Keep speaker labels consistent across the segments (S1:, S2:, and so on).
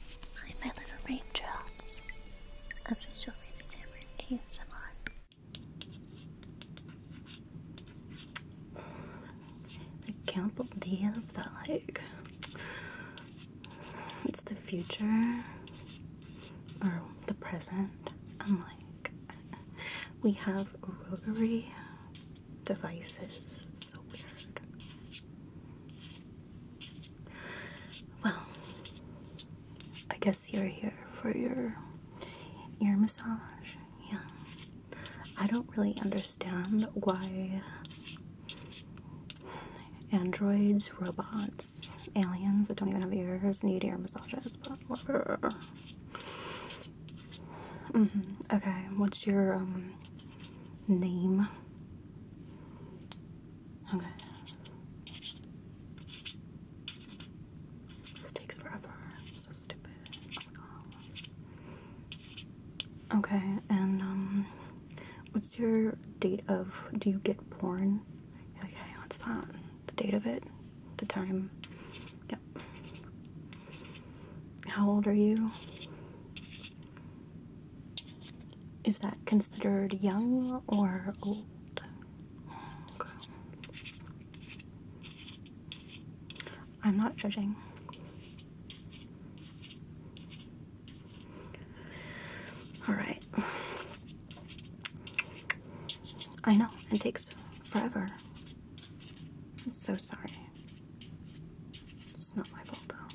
S1: i Hi, my little raindrops. Official Rainy Tamarind ASMR. I can't believe that, like, it's the future or the present. i we have rotary devices. so weird. Well, I guess you're here for your ear massage. Yeah. I don't really understand why androids, robots, aliens that don't even have ears need ear massages, but whatever. Mm-hmm. Okay, what's your um name. Okay. takes forever. so stupid. Oh okay, and um, what's your date of? Do you get born? Okay, what's that? The date of it? The time? Yep. How old are you? Is that considered young or old? I'm not judging. All right. I know it takes forever. I'm so sorry. It's not my fault though.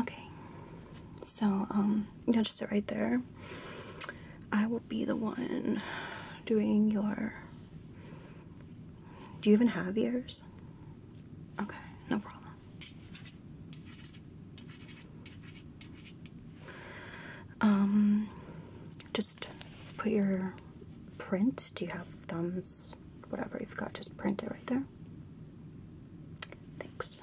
S1: Okay. So, um, you'll just sit right there. I will be the one doing your. Do you even have ears? Okay, no problem. Um, just put your print. Do you have thumbs? Whatever you've got, just print it right there. Thanks.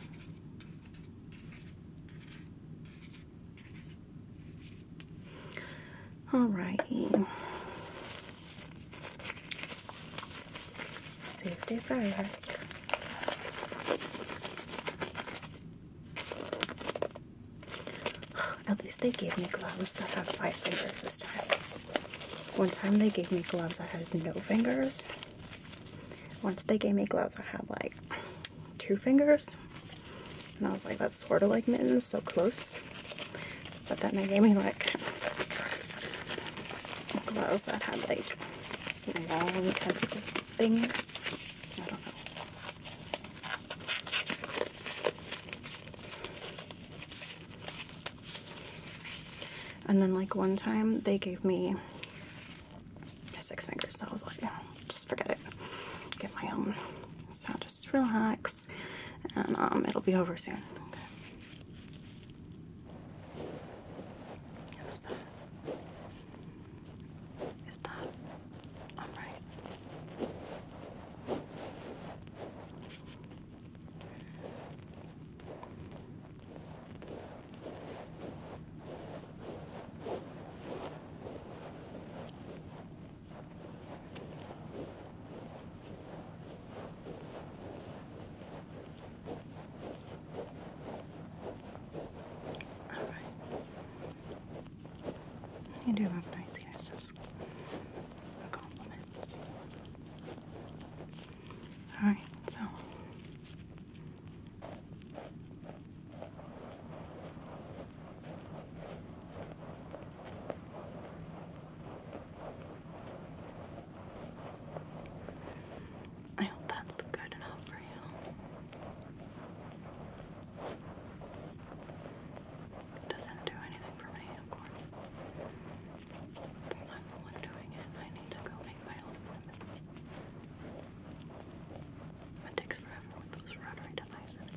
S1: righty. Safety first. At least they gave me gloves that have five fingers this time. One time they gave me gloves that had no fingers. Once they gave me gloves that had like two fingers. And I was like, that's sort of like mittens, so close. But then they gave me like gloves that had like long tentacle things. I don't know. And then like one time they gave me six fingers. So I was like, oh, just forget it. Get my own. So just relax and um, it'll be over soon. Okay. Is that? Is that? All right. All right. You do have nice hair, so Alright, so. I hope that's good enough for you. It doesn't do anything for me, of course. Since I'm the one doing it, I need to go make my own It takes forever with those rotary devices.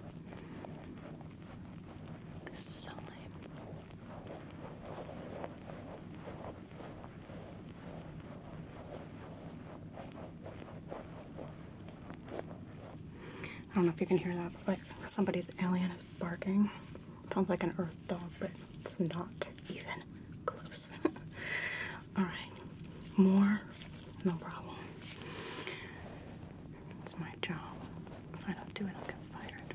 S1: This is so lame. I don't know if you can hear that, but somebody's alien is barking. sounds like an earth dog, but it's not even close. Alright, more? No problem. It's my job. If I don't do it, I'll get fired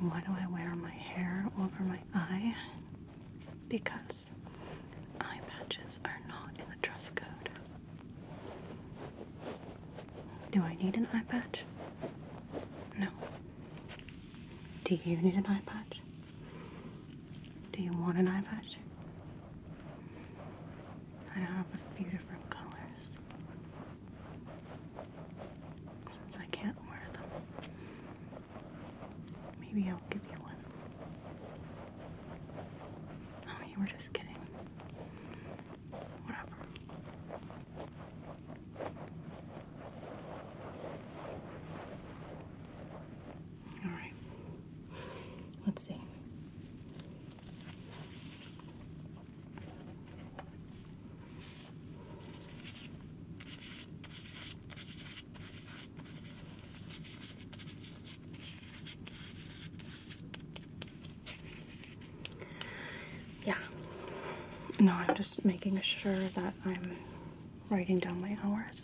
S1: why do I wear my hair over my eye? Because eye patches are not in the dress code. Do I need an eye patch? No. Do you need an eye patch? Do you want an eye patch? I have a few different colors. Since I can't wear them, maybe I'll give you one. Oh, you were just kidding. Whatever. Alright. Let's see. Yeah. No, I'm just making sure that I'm writing down my hours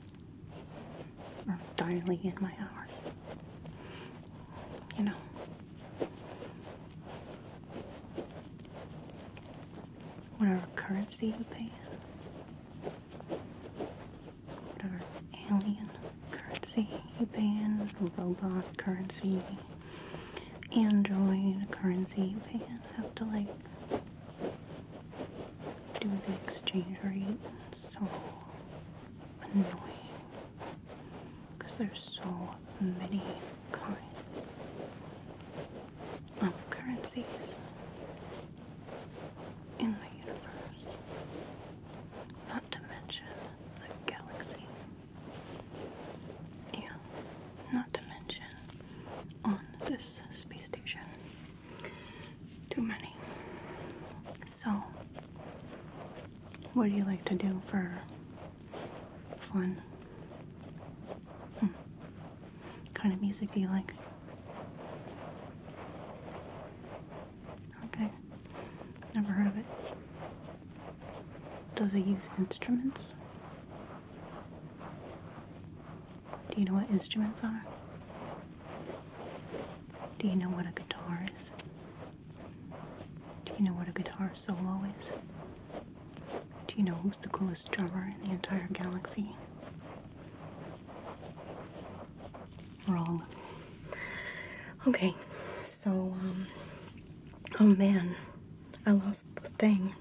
S1: or dialing in my hours you know. Whatever currency you pay in, whatever alien currency you pay in, robot currency, android currency you pay in, have to like do the exchange rate so annoying because there's so many kinds of currencies in the universe, not to mention the galaxy. Yeah, not to mention on this space station too many. So, what do you like to do for fun? Hmm. What kind of music do you like? Okay, never heard of it. Does it use instruments? Do you know what instruments are? Do you know what a guitar is? Do you know what a guitar solo is? Do you know who's the coolest drummer in the entire galaxy? Wrong. Okay, so, um, oh man, I lost the thing.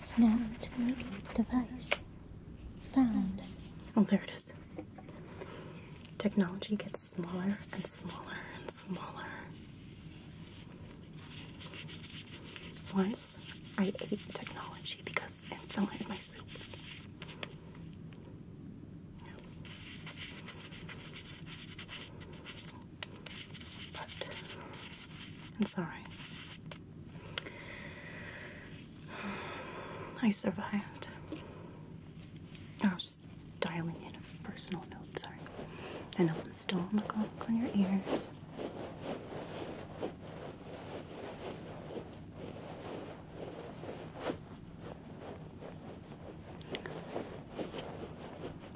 S1: Snapped device. Found. Oh, there it is. Technology gets smaller and smaller and smaller. Once I ate technology because it fell into my soup but I'm sorry. I survived. I was dialing in a personal note, sorry. I know I'm still on the clock on your ears.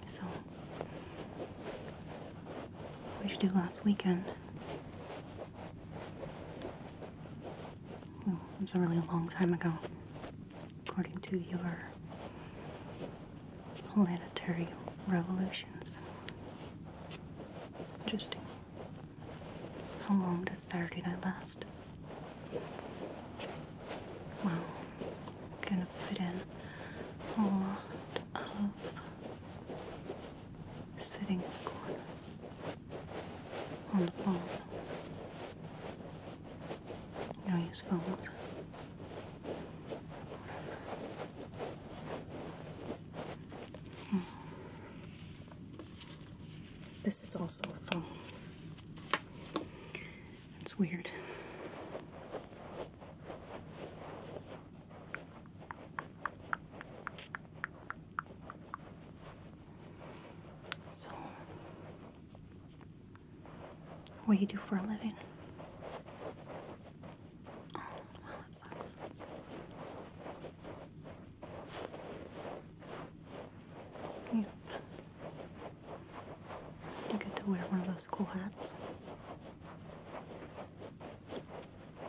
S1: So, what did you do last weekend? Well, it was a really long time ago, according to your planetary revolutions. Interesting. How long does Saturday night last? Wow going to put in a of sitting on the phone. You don't hmm. This is also a phone. That's weird. So, what do you do for a living? Oh, well, that sucks. Yeah. You get to wear one of those cool hats.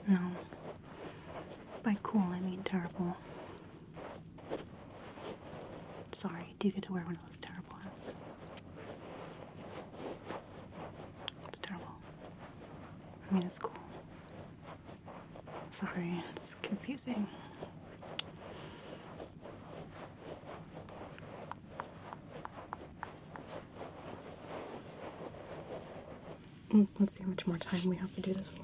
S1: No. By cool, I mean terrible. Sorry, do you get to wear one of those terrible hats? It's terrible. I mean, it's cool. Sorry, it's confusing. Mm, let's see how much more time we have to do this for.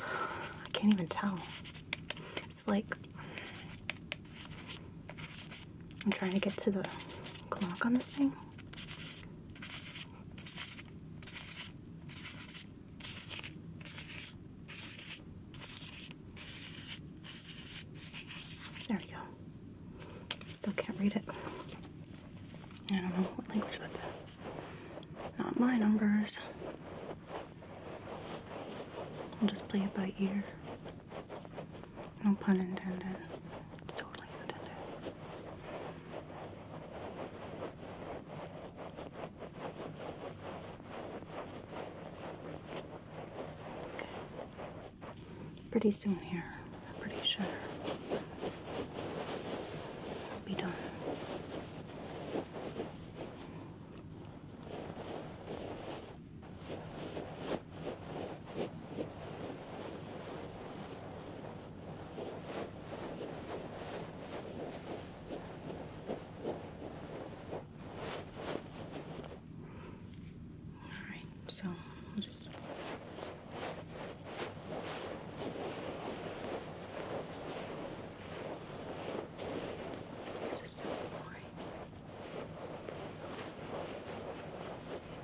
S1: I can't even tell. It's like I'm trying to get to the clock on this thing. There we go. Still can't read it. I don't know what language that's Not my numbers. I'll just play it by ear. No pun intended. It's totally intended. Pretty soon here, I'm pretty sure. I'll be done. Alright, so just this is so boring.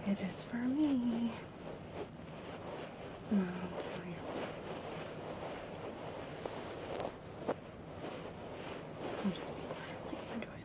S1: It is for me. No, i I'll just be quietly enjoying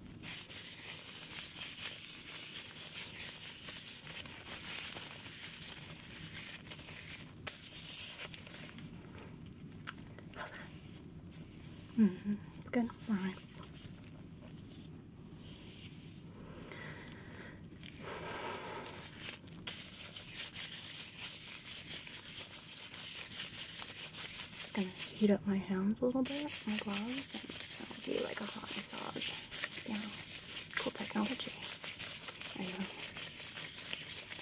S1: hmm Good. All right. Just gonna heat up my hands a little bit, my gloves, and that'll be like a hot massage. Yeah, cool technology. I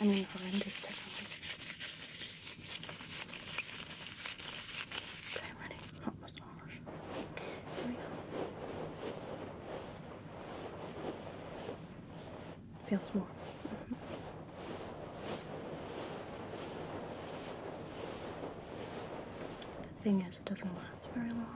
S1: mean, horrendous technology. Okay, ready? Hot massage. Here we go. Feels warm. Mm-hmm. The thing is, it doesn't last very long.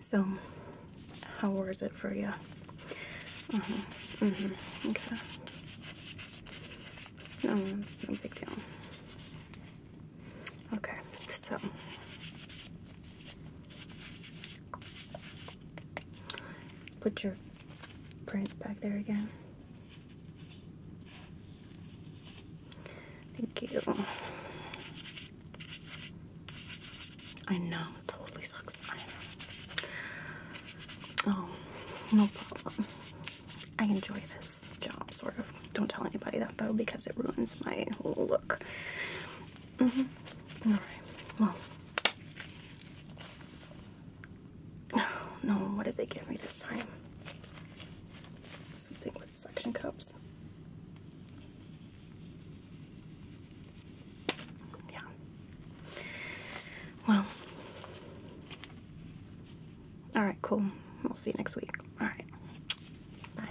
S1: So, how was it for you? Uh huh. Mm hmm. Okay. No, it's no big deal. Okay, so. Let's put your print back there again. Thank you. I know, it totally sucks. I know. Oh, no problem. I enjoy this job, sort of. Don't tell anybody that though, because it ruins my whole look. Mm-hmm. Alright, well. Oh, no, what did they give me this time? Something with suction cups. Yeah. Well. All right, cool. We'll see you next week. All right. Bye.